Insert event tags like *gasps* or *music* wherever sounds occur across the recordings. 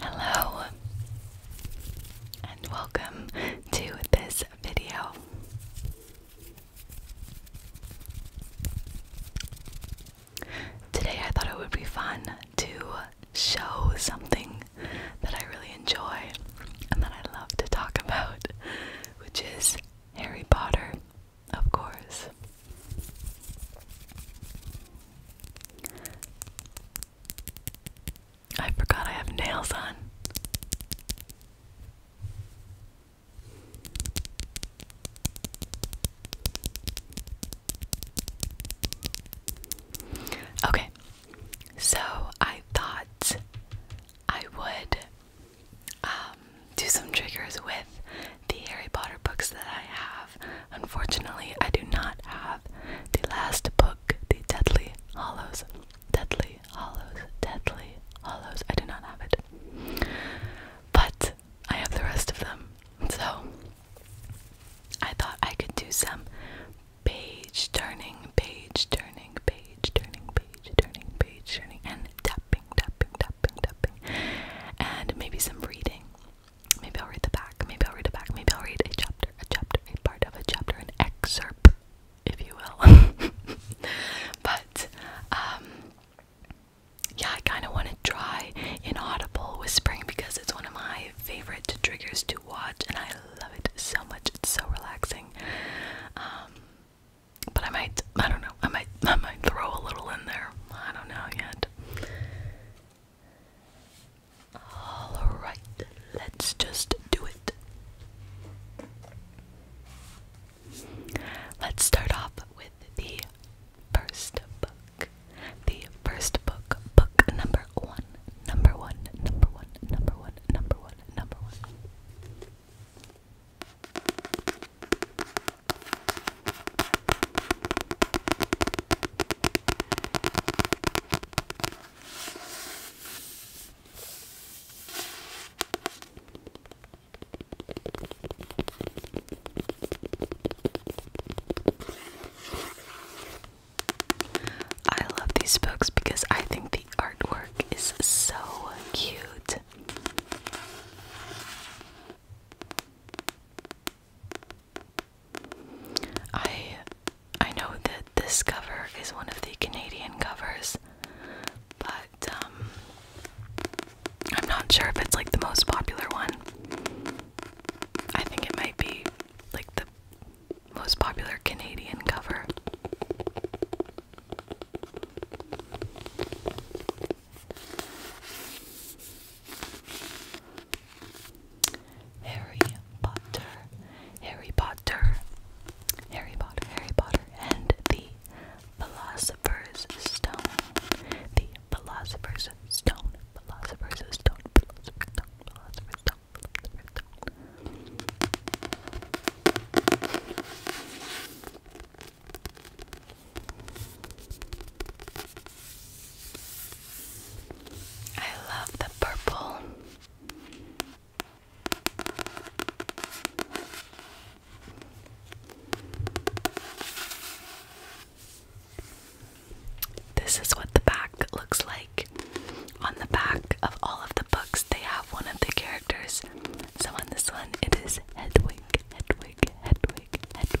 Hello and welcome to this video. Today I thought it would be fun to show something that I really enjoy and that I love to talk about, which is Harry Potter of course. I forgot I have nails on. Okay, so I thought I would um, do some triggers with the Harry Potter books that I have. Unfortunately, I do not have the last book, the Deadly Hollows. Deadly Hollows, Deadly Hollows. I do not have it. But I have the rest of them. So I thought I could do some page turning, page turning, page turning, page turning, page turning, and tapping, tapping, tapping, tapping, and maybe some reading. Maybe I'll read the back. Maybe I'll read the back. Maybe I'll read a chapter, a chapter, a part of a chapter, an excerpt, if you will. *laughs* but, um, yeah, I kind of want to try inaudible whispering because it's one of my favorite triggers to watch, and I love it so much. It's so relaxing. Um, but I might, I don't know, I might, I might throw a little in there. I don't know yet. Alright, let's just do it. Let's start off with the first book. The first book, book number one, number one, number one, number one, number one, number one. I love these books because I think the artwork is so cute. I I know that this cover is one of the Canadian covers, but um, I'm not sure if it's like the most popular one. I think it might be like the most popular Canadian cover. Harry Potter, Harry Potter, Harry Potter, Harry Potter, and the Philosopher's Stone. The Philosopher's Stone, Philosopher's Stone, Philosopher's Stone, Philosopher's Stone, Philosopher's Stone. I love the purple. This is what the back looks like. On the back of all of the books, they have one of the characters. So on this one, it is Hedwig, Hedwig, Hedwig, Hedwig,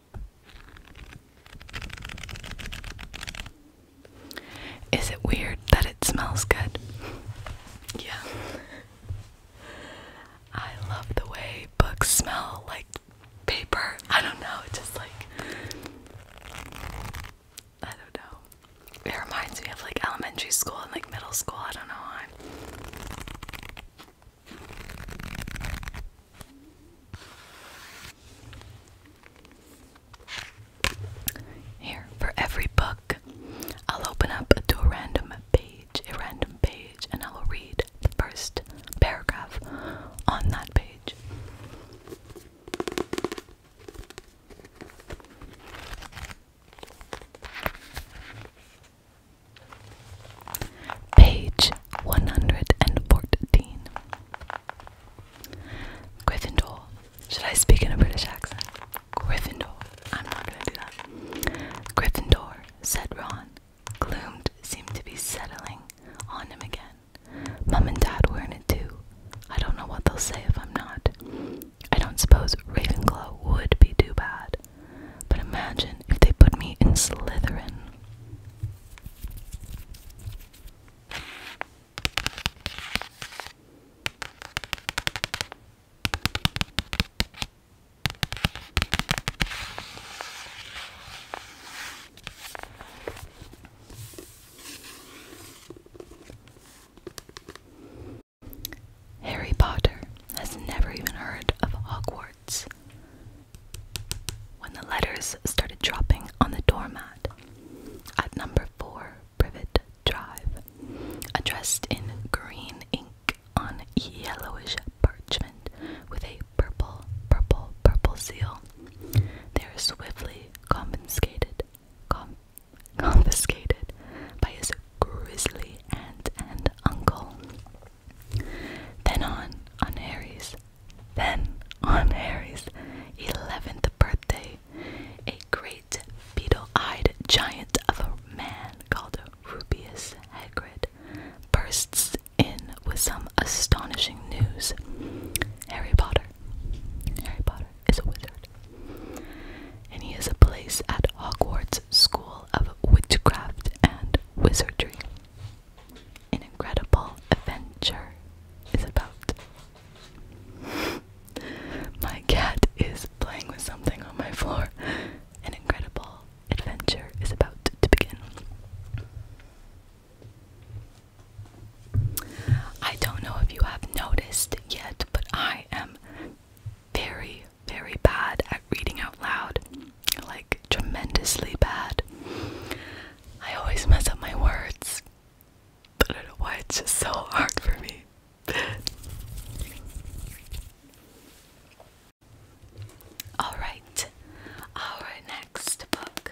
Is it weird that it smells good? yeah. *laughs* I love the way books smell like paper. I don't know, It just like I don't know. It reminds me of like elementary school and like middle school. I don't know why. Here, for every book, I'll open up to a random page, a random page, and I'll read the first paragraph on that page. Page 114. Gryffindor. Should I speak in a British accent? Gryffindor. I'm not gonna do that. Gryffindor, said Ron. Gloom seemed to be settling on him again. Mum and Dad were in it too. I don't know what they'll say if I'm not. I don't suppose Ravenclaw would be too bad. But imagine if they put me in Slytherin. Harry Potter has never even heard of Hogwarts when the letters started dropping on the doormat at number 4 Privet Drive, addressed in green ink on yellowish parchment with a purple, purple, purple seal. They were swiftly confiscated, confiscated by his grizzly aunt and uncle. Then on, on Harry's, then on Harry's 11th birthday, a great beetle-eyed giant of a man called Rubius Hagrid bursts in with some astonishing news. Harry Potter. Harry Potter is a wizard. And he has a place at Hogwarts School of Witchcraft and Wizardry an incredible adventure is about. *laughs* my cat is playing with something on my floor. An incredible adventure is about to begin. I don't know if you have noticed yet, but I am very, very bad at reading out loud like tremendously bad. I always mess up my words. I don't know why it's just so hard for me. Alright, our next book.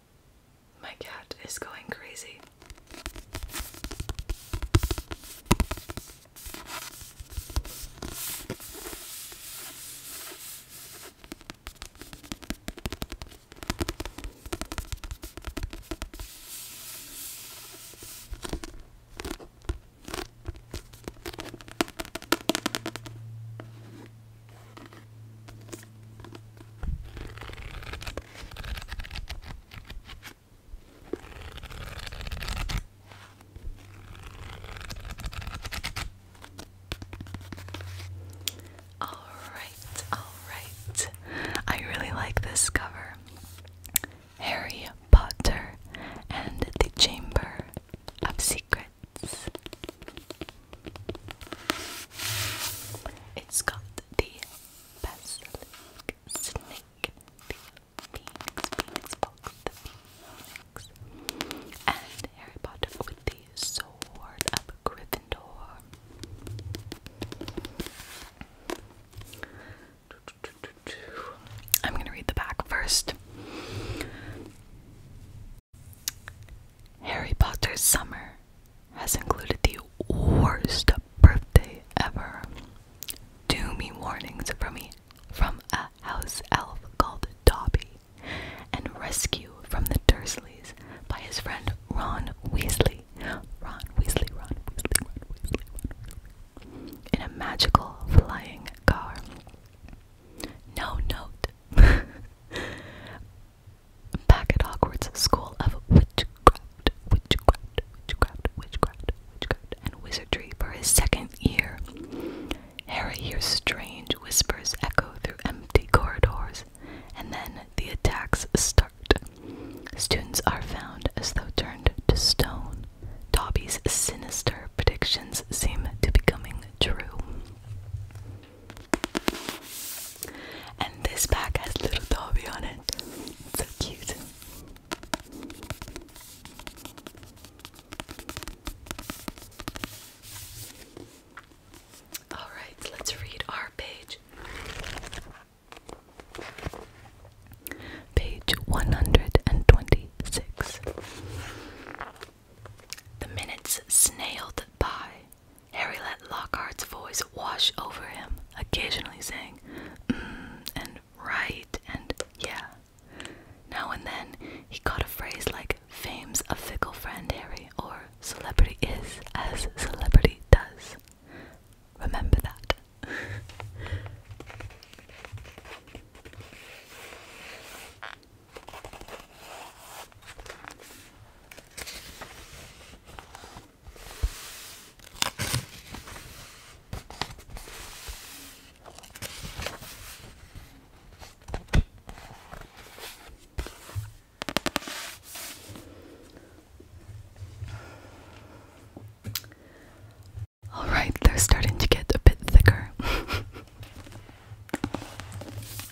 My cat is going crazy. All right, all right. I really like this cover. Harry Potter and the Chamber of Secrets cards. It's got the basilisk, snake, phoenix, phoenix box, phoenix, and Harry Potter with the sword of Gryffindor. I'm going to read the back first. Harry Potter's summer has included the worst birthday ever. Doomy warnings from a, house elf called Dobby, and rescue from the Dursleys by his friend Ron Weasley, Ron Weasley, Ron Weasley. In a magical flying car. No note Back *laughs* at Hogwarts School of Witchcraft, Witchcraft, Witchcraft, Witchcraft, Witchcraft, and Wizardry for his second year, Harry hears strange whispers echo through empty corridors, and then the attacks start. Students are found as though turned to stone. Dobby's sinister predictions seem to be coming true. And this pack has little Dobby on it. So cute. Alright, let's read our page. Page 126. The minutes snailed by. Harry let Lockhart's voice wash over him, occasionally saying, mm, and right, and yeah. Now and then, he caught a phrase like, fame's a fickle friend, Harry, or celebrity is as celebrity does. Remember that. *laughs* All right, they're starting to get a bit thicker. *laughs*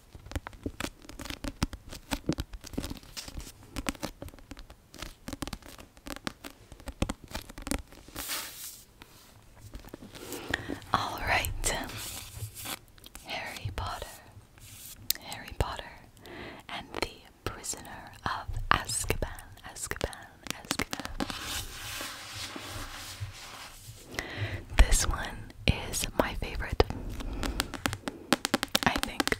All right, Harry Potter, Harry Potter, and the Prisoner of Azkaban, Azkaban, Azkaban. This one is my favorite. I think.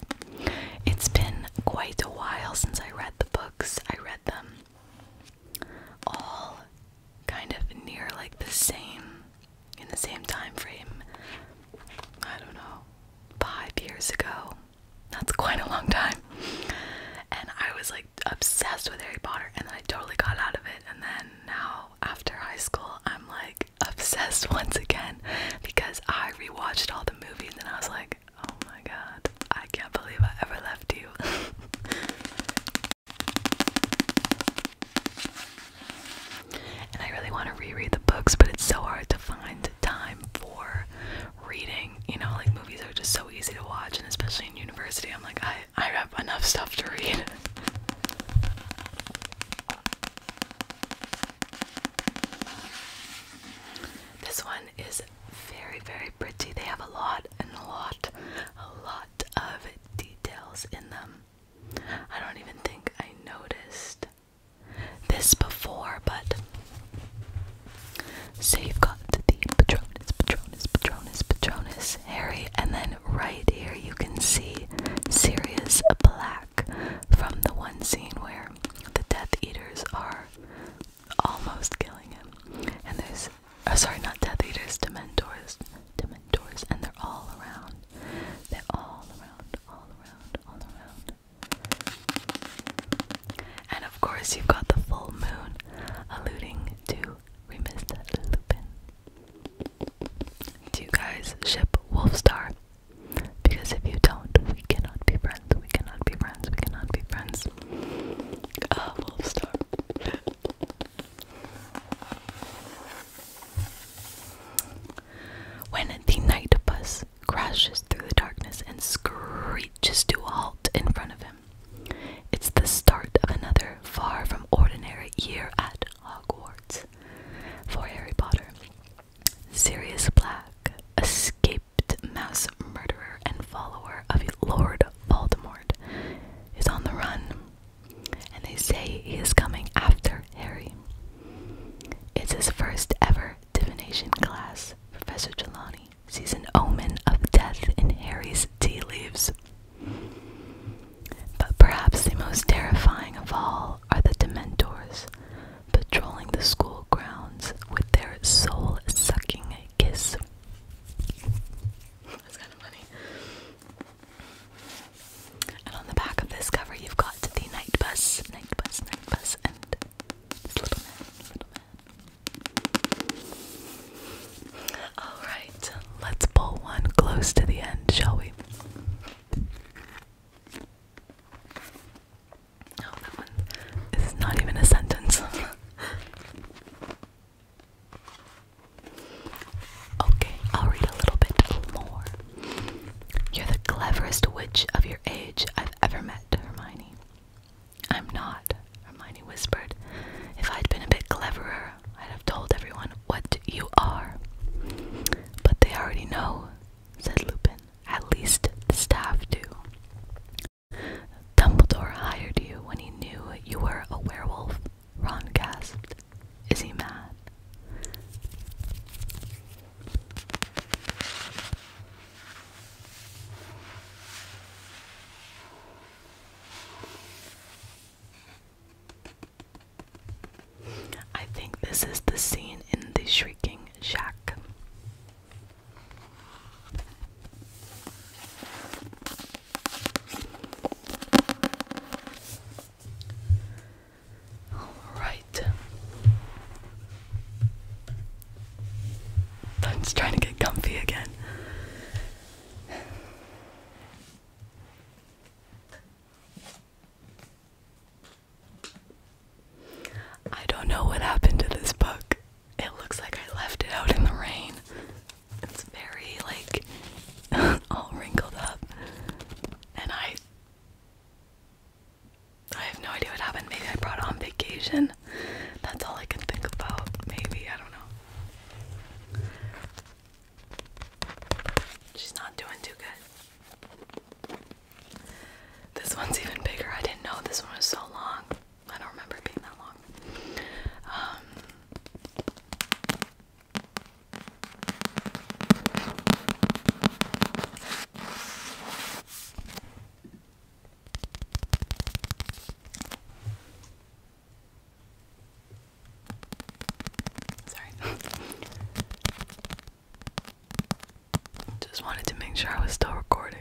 It's been quite a while since I read the books. I read them all kind of near like the same in the same time frame. I don't know, 5 years ago. That's quite a long time. And I was like obsessed with Harry Potter and then I totally got out of it and then now after high school, I'm like obsessed *laughs* once again because I rewatched all the movies and I was like, oh my god, I can't believe I ever left you. *laughs* and I really want to reread the books, but it's so hard to find time for reading. You know, like movies are just so easy to watch, and especially in university, I'm like, I I have enough stuff to read. This one is very, very pretty. They have a lot and a lot, a lot of details in them. I don't even think I noticed this before, but. So you've got the Patronus, Patronus, Patronus, Patronus, Harry, and then right here you can see Sirius Black from the one scene where the Death Eaters are almost killing him. And there's, oh, sorry, not Death Eaters, Dementors, Dementors, and they're all around. They're all around, all around, all around. And of course, you've got the full moon alluding to Remus Lupin. Do you guys ship Wolfstar? Because if you don't, we cannot be friends. We cannot be friends. We cannot be friends. Ah, Wolfstar. when the night bus crashes through the darkness and screeches to a halt in front of him, it's the start of another far from ordinary year at Hogwarts for Harry Potter. Sirius Black, escaped mouse murderer and follower of Lord Voldemort, is on the run, and they say he is coming after Harry. It's his first ever divination class. Professor Trelawney sees an omen of death in Harry's tea leaves. But perhaps the most terrifying of all are the Dementors, patrolling the school grounds with their soul sucking kiss. And on the back of this cover, you've got the night bus, night bus, night bus, and this little man, little man. Alright, let's pull one close to the end, shall we? Oh, that one is not even a sentence. *laughs* okay, I'll read a little bit more. You're the cleverest witch of your age I've ever met, Hermione. I'm not, Hermione whispered. If I'd been a bit cleverer, I'd have told everyone what you are. But they already know, said Lupin. At least the staff do. Dumbledore hired you when he knew you were a werewolf, Ron gasped. Is he mad? I think this is the scene in the Shrieking Shack. All right. I'm just trying to get comfy again. I don't know what happened to this book. It looks like I left it out in the rain. It's very, like, *laughs* all wrinkled up. And I. I have no idea what happened. Maybe I brought it on vacation. That's all I can think about. Maybe, I don't know. She's not doing too good. This one's even bigger. I didn't know this one was so long. I don't remember it being that long. Um, Sorry. *laughs* Just wanted to make sure I was still recording.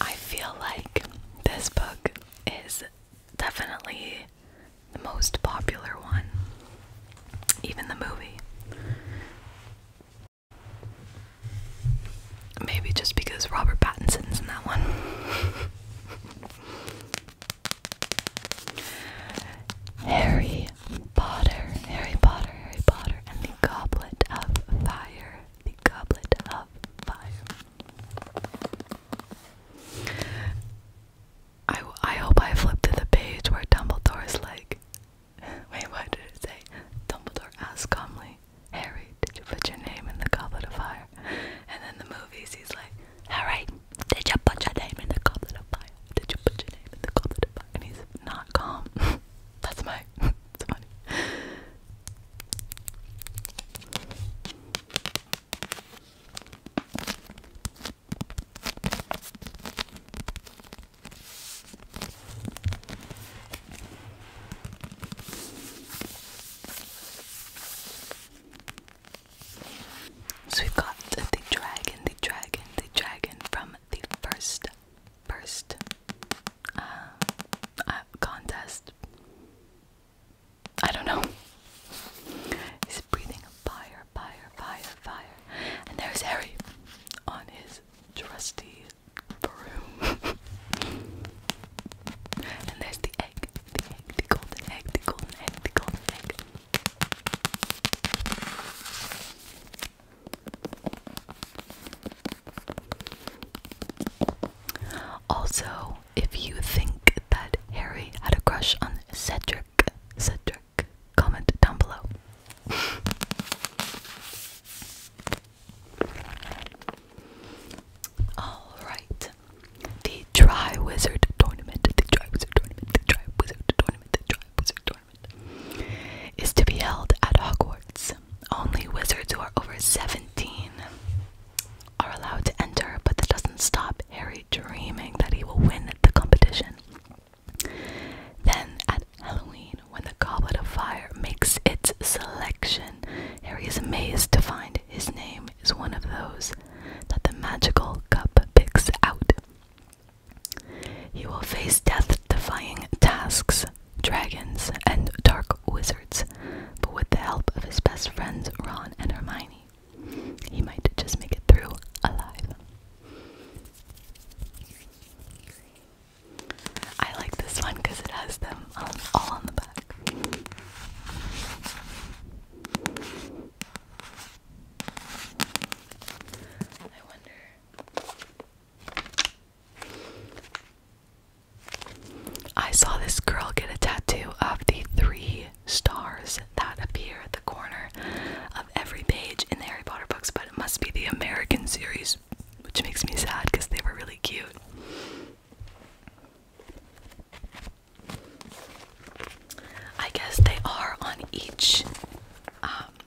I feel like this book is definitely the most popular one, even the movie. Maybe just because Robert Pattinson's in that one. *laughs* Harry Potter, Harry Potter, Harry Potter, and the Goblet of Fire the goblet of fire. I, I hope I flipped to the page where Dumbledore is like, *laughs* wait, what did it say? Dumbledore asked calmly, Harry, did you put your name in the goblet of fire? And then the movies, he's like, Harry, did you put your name in the goblet of fire? Did you put your name in the goblet of fire? And he's not calm. *laughs* That's my so we've got the dragon, the dragon, the dragon from the first, first uh, uh, contest. I don't know. He's breathing fire, fire, fire, fire. And there's Harry on his trusty broom. *laughs* and there's the egg, the egg, the golden egg, the golden egg, the golden egg. Also, if you think that Harry had a crush on Cedric, Cedric, comment down below. Alright. The Dry Tournament. The Dry Tournament. The Dry Tournament. The Dry Tournament is to be held at Hogwarts. Only wizards who are over 17 are allowed to enter, but that doesn't stop Harry dreaming that he will win the competition. Then at Halloween, when the Goblet of Fire makes its selection, Harry is amazed to find his name is one of those that the magical cup picks out. He will face death defying tasks, dragons, and dark wizards, but with the help of his best friends Ron and Hermione, he might just make it through alive. I like this one because it has them um, all on the back. I wonder. I saw this girl get a tattoo of the three stars that appear at the corner of every page in the Harry Potter books, but it must be the American series, which makes me sad because they were really cute. I guess they are on each um,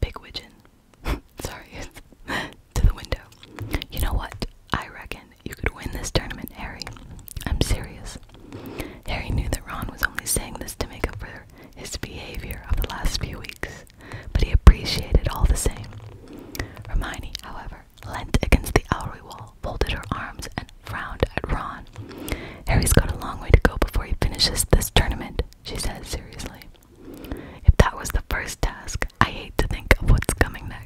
big widgeon. *laughs* Sorry, *laughs* to the window. You know what? I reckon you could win this tournament, Harry. I'm serious. Harry knew that Ron was only saying this to make up for his behavior of the last few weeks, but he appreciated all the same. Hermione, however, leant against the owlery wall, folded her arms, and frowned at Ron. Harry's got a long way to go before he finishes this tournament, she said seriously. If that was the first task, I hate to think of what's coming next.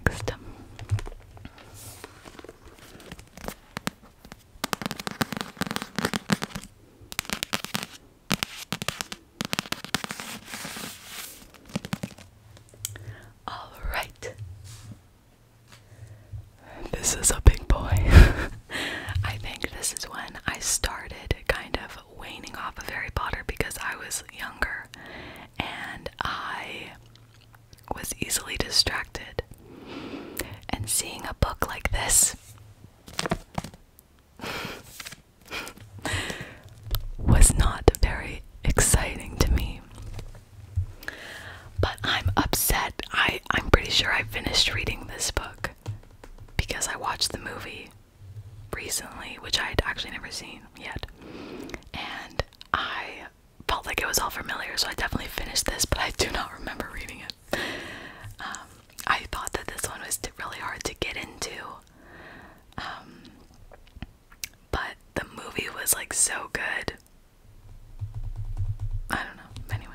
All right. This is a big boy. *laughs* I think this is when I started kind of waning off of Harry Potter because I was younger and I was easily distracted. And seeing a book like this *laughs* was not very exciting to me. But I'm upset. I, I'm pretty sure I finished reading this book because I watched the movie recently, which I had actually never seen yet, and I felt like it was all familiar, so I definitely finished this, but I do not remember reading it. Um, I thought that this one was really hard to get into, um, but the movie was like so good. I don't know. Anyway.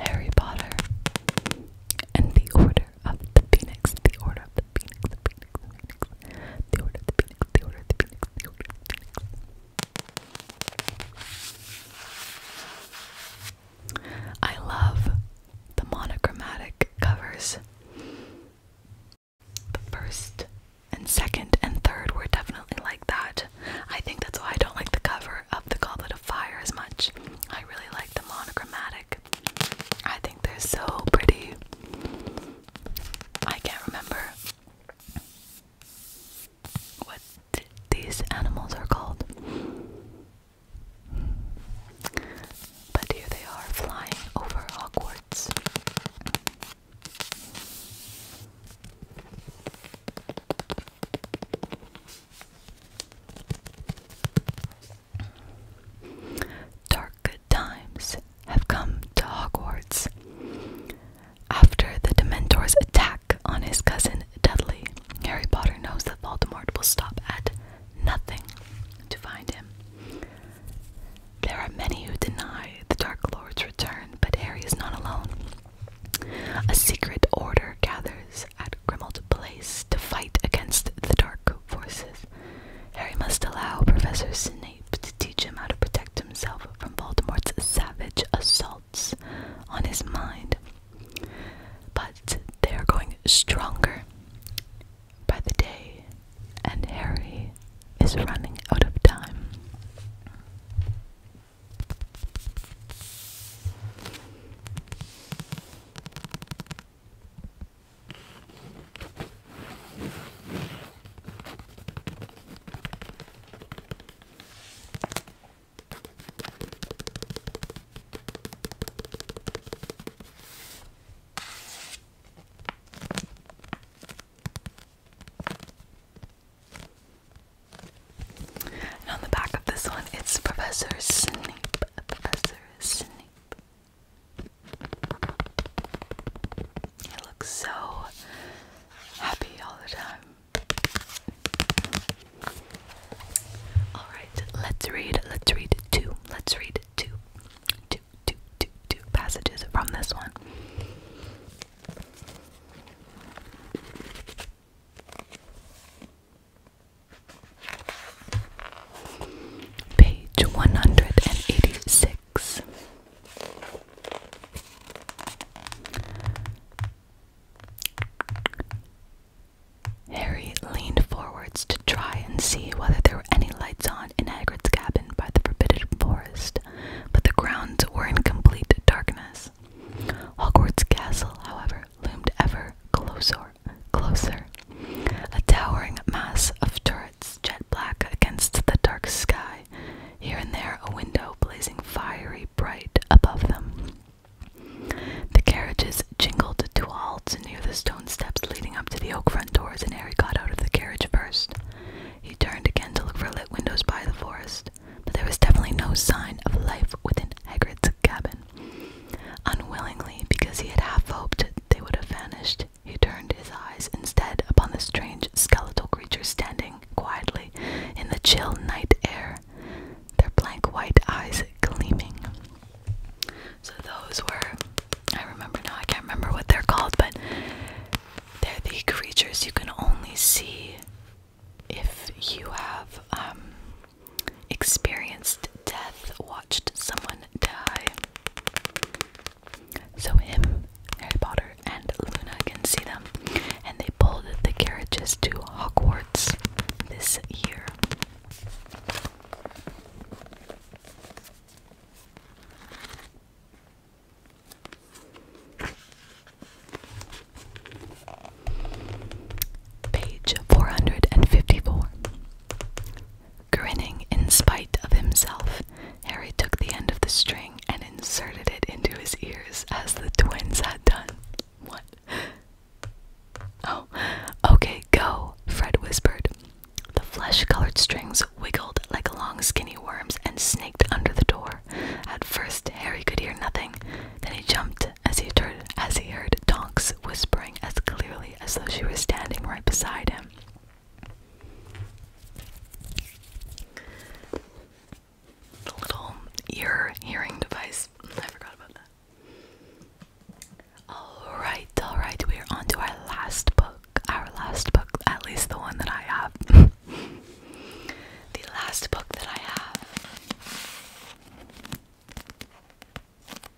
Harry Potter and the Order of the Phoenix, the Order of the Phoenix, the Phoenix, the Phoenix, the Order of the Phoenix, the Order of the Phoenix, the Order of the Phoenix. I love the monochromatic covers. The first and second and third were definitely like that. I think that's why I don't like the cover of the Goblet of Fire as much. I really like the monochromatic. I think they're so pretty. I can't remember what these animals are called. But here they are flying over Hogwarts. Dark times have come to Hogwarts. After the Dementor's attack on his cousin Dudley, Harry Potter knows that Voldemort will stop at nothing to find him. There are many who deny the Dark Lord's return, but Harry is not alone. A secret order gathers at Grimald Place to fight against the dark forces. Harry must allow Professor Snape to teach him how to protect himself from Voldemort's savage assaults on his mind. But they are going stronger by the day, and Harry is running out of time on the back of this one, it's Professor Snape. Professor Snape. He looks so happy all the time. Alright, let's read, let's read two, let's read two, two, two, two, two passages from this one. Page 186. Harry leaned forwards to try and see whether there were any lights on in Hagrid's cabin by the forbidden forest, but the grounds were in complete darkness. Hogwarts Castle, however, loomed ever closer closer. A towering mass of turrets, jet black against the dark sky, here and there a window blazing fiery bright above them. The carriages jingled to halts near the stone steps leading up to the oak front doors, and Harry got out of the carriage first. He turned again to look for lit windows by the forest, but there was definitely no sign of life within Hagrid's cabin. Unwillingly, because he had half hoped they would have vanished, he turned his eyes instead upon the strange skeletal creatures standing quietly in the chill night air, their blank white eyes gleaming. So those were, I remember now, I can't remember what they're called, but they're the creatures you can only see if you have um, experienced death, watched someone die. So him, Harry Potter, and Luna can see them, and they pulled the carriages to Hogwarts this year. Page 454. Grinning in spite of himself, Harry took the end of the string and inserted it into his ears as the twins had done. What? Oh, okay, go, Fred whispered. The flesh colored strings wiggled like long skinny worms and snaked under the door. At first, Harry could hear nothing. Then he jumped as he, as he heard Tonks whispering as clearly as though she was standing right beside him. The little ear hearing device. I forgot about that. Alright, alright, we are on our last book. Our last book, at least the one that I have. *laughs* the last book that I have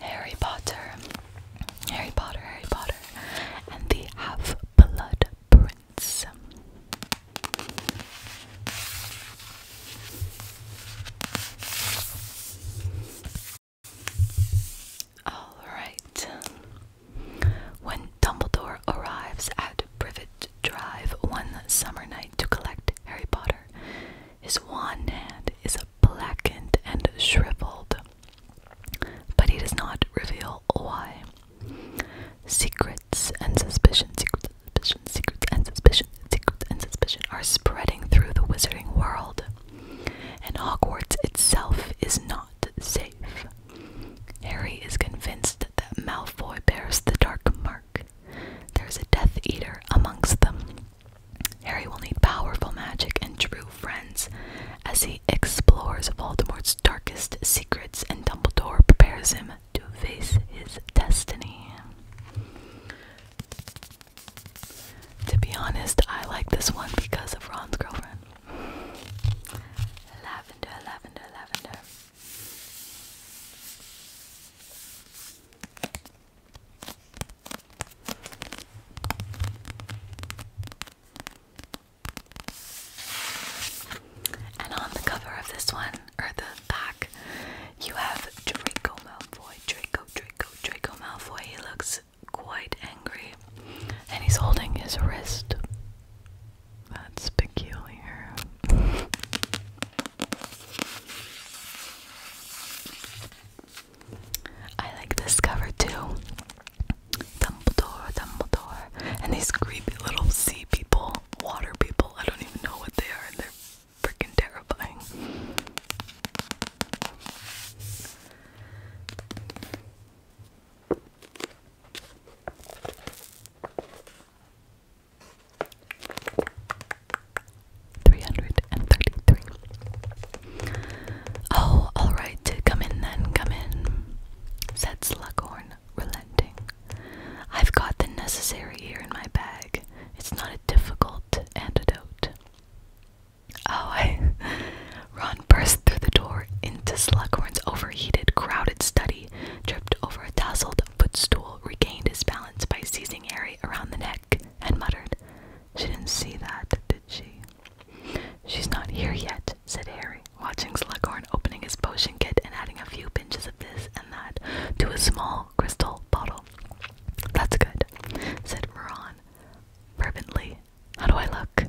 Harry Potter, Harry Potter, Harry Potter, and the Half Blood Prince. All right. When Dumbledore arrives at Privet Drive one summer night to collect Harry Potter, his wand hand is blackened and shriveled but he does not reveal why. Secrets and suspicion, secrets and suspicion, secrets and suspicion, secrets and suspicion are spreading through the wizarding world. And Hogwarts itself is not safe. Harry is convinced that Malfoy bears the dark mark. There's a Death Eater amongst them. Harry will need powerful magic and true friends as he Harry explores Voldemort's darkest secrets, and Dumbledore prepares him to face his destiny. To be honest, I like this one because of Ron's girlfriend. And on the cover of this one, or the back, you have Draco Malfoy. Draco, Draco, Draco Malfoy. He looks quite angry. And he's holding his wrist. That's peculiar. I like this cover too. Dumbledore, Dumbledore, and these creepy little sea people, water people. I don't even know what they are, and they're freaking terrifying. Three hundred and thirty-three. Oh, all right. Come in then. Come in said Slughorn, relenting. I've got the necessary here in my bag. It's not a difficult antidote. Oh, *laughs* Ron burst through the door into Slughorn's overheated, crowded study, tripped over a tousled footstool, regained his balance by seizing Harry around the neck, and muttered, She didn't see that, did she? She's not here yet, said Harry, watching Slughorn opening his potion kit and adding a few pinches of this and that to a small crystal bottle. That's good, said Ron fervently. How do I look?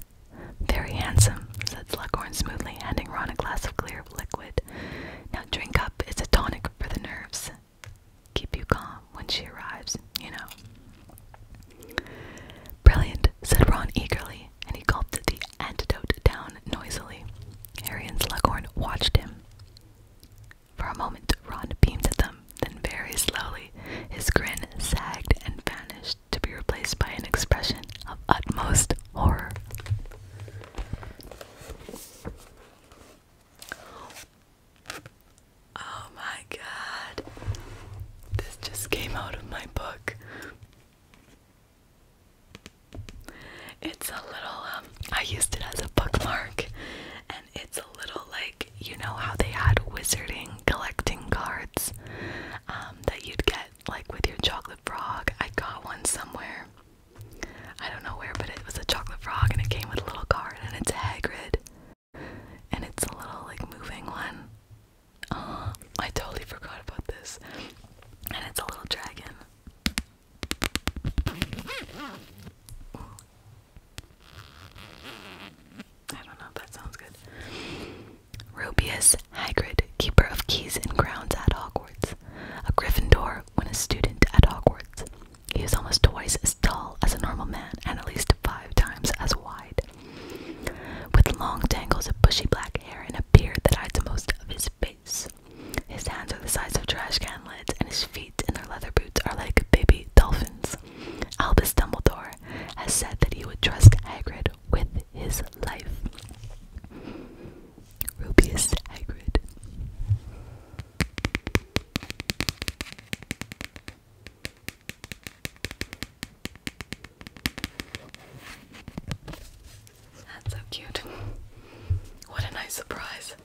Very handsome, said Slughorn smoothly, handing Ron a glass of clear liquid. Now drink up, it's a tonic for the nerves. Keep you calm when she arrives, you know. Brilliant, said Ron eagerly, and he gulped the antidote down noisily. Harry and Slughorn watched him. For a moment, Ron beamed at them, then very slowly, his grin sagged and vanished to be replaced by an expression of utmost horror. Oh my god. This just came out of my book. It's a little, um, I used it as a bookmark, and it's a little like, you know, how they had wizarding collecting cards um, that you'd get, like with your chocolate frog. I got one somewhere. I don't know where, but it was a chocolate frog, and it came with a little card, and it's a Hagrid. And it's a little like moving one. Oh, *gasps* I totally forgot about this. And it's a little dragon. I don't know if that sounds good. Rubius Hagrid, keeper of keys and grounds at Hogwarts. A Gryffindor when a student at Hogwarts. He is almost twice as tall as a normal man and at least five times as wide. With long tangles of bushy black hair and a beard that hides most of his face. His hands are the size of trash can lids, and his feet in their leather boots are like baby dolphins. Albus Dumbledore has said that he would trust Hagrid with his life. Rubius Hagrid. That's so cute. What a nice surprise.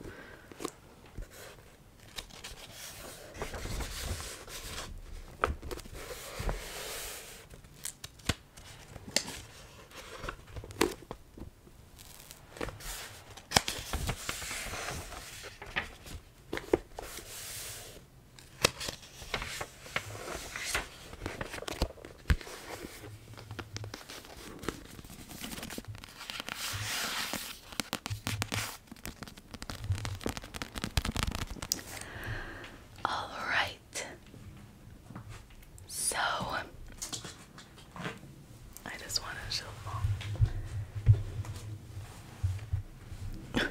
All right. So I just want to shuffle *laughs*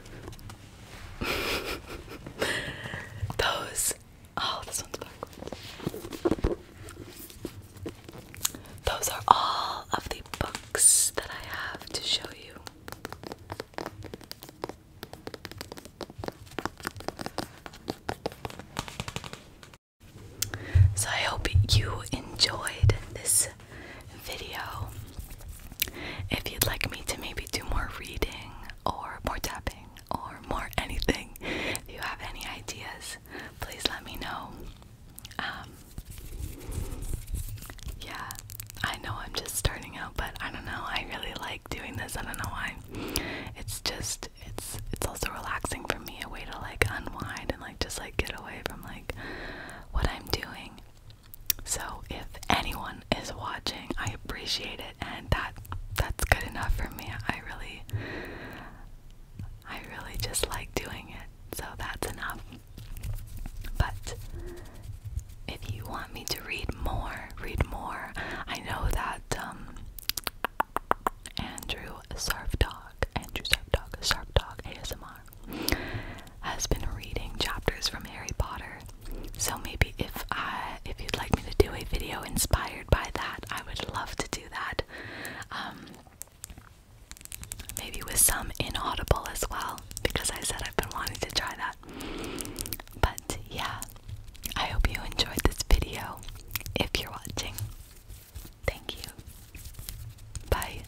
Those. Oh, this one's backwards. Those are all of the books that I have to show you. So I hope you enjoyed this video. If you'd like me to maybe do more reading or more tapping or more *laughs* anything, if you have any ideas, please let me know. Um, yeah, I know I'm just starting out, but I don't know. I really like doing this. I don't know why. It's just it's it's also relaxing for me, a way to like unwind and like just like get away from like what I'm doing. So if anyone is watching, I appreciate it and that that's good enough for me. I really I really just like doing it. So that's enough. But if you want me to read more, read more. I know that um Andrew Surf Dog, Andrew Surf Dog, Surf Dog ASMR has been reading chapters from Harry Potter. So maybe if I if you'd like me to do a video inspired by that, I would love to do that. Um maybe with some inaudible as well because I said I've been wanting to try that. But yeah, I hope you enjoyed this video if you're watching. Thank you. Bye.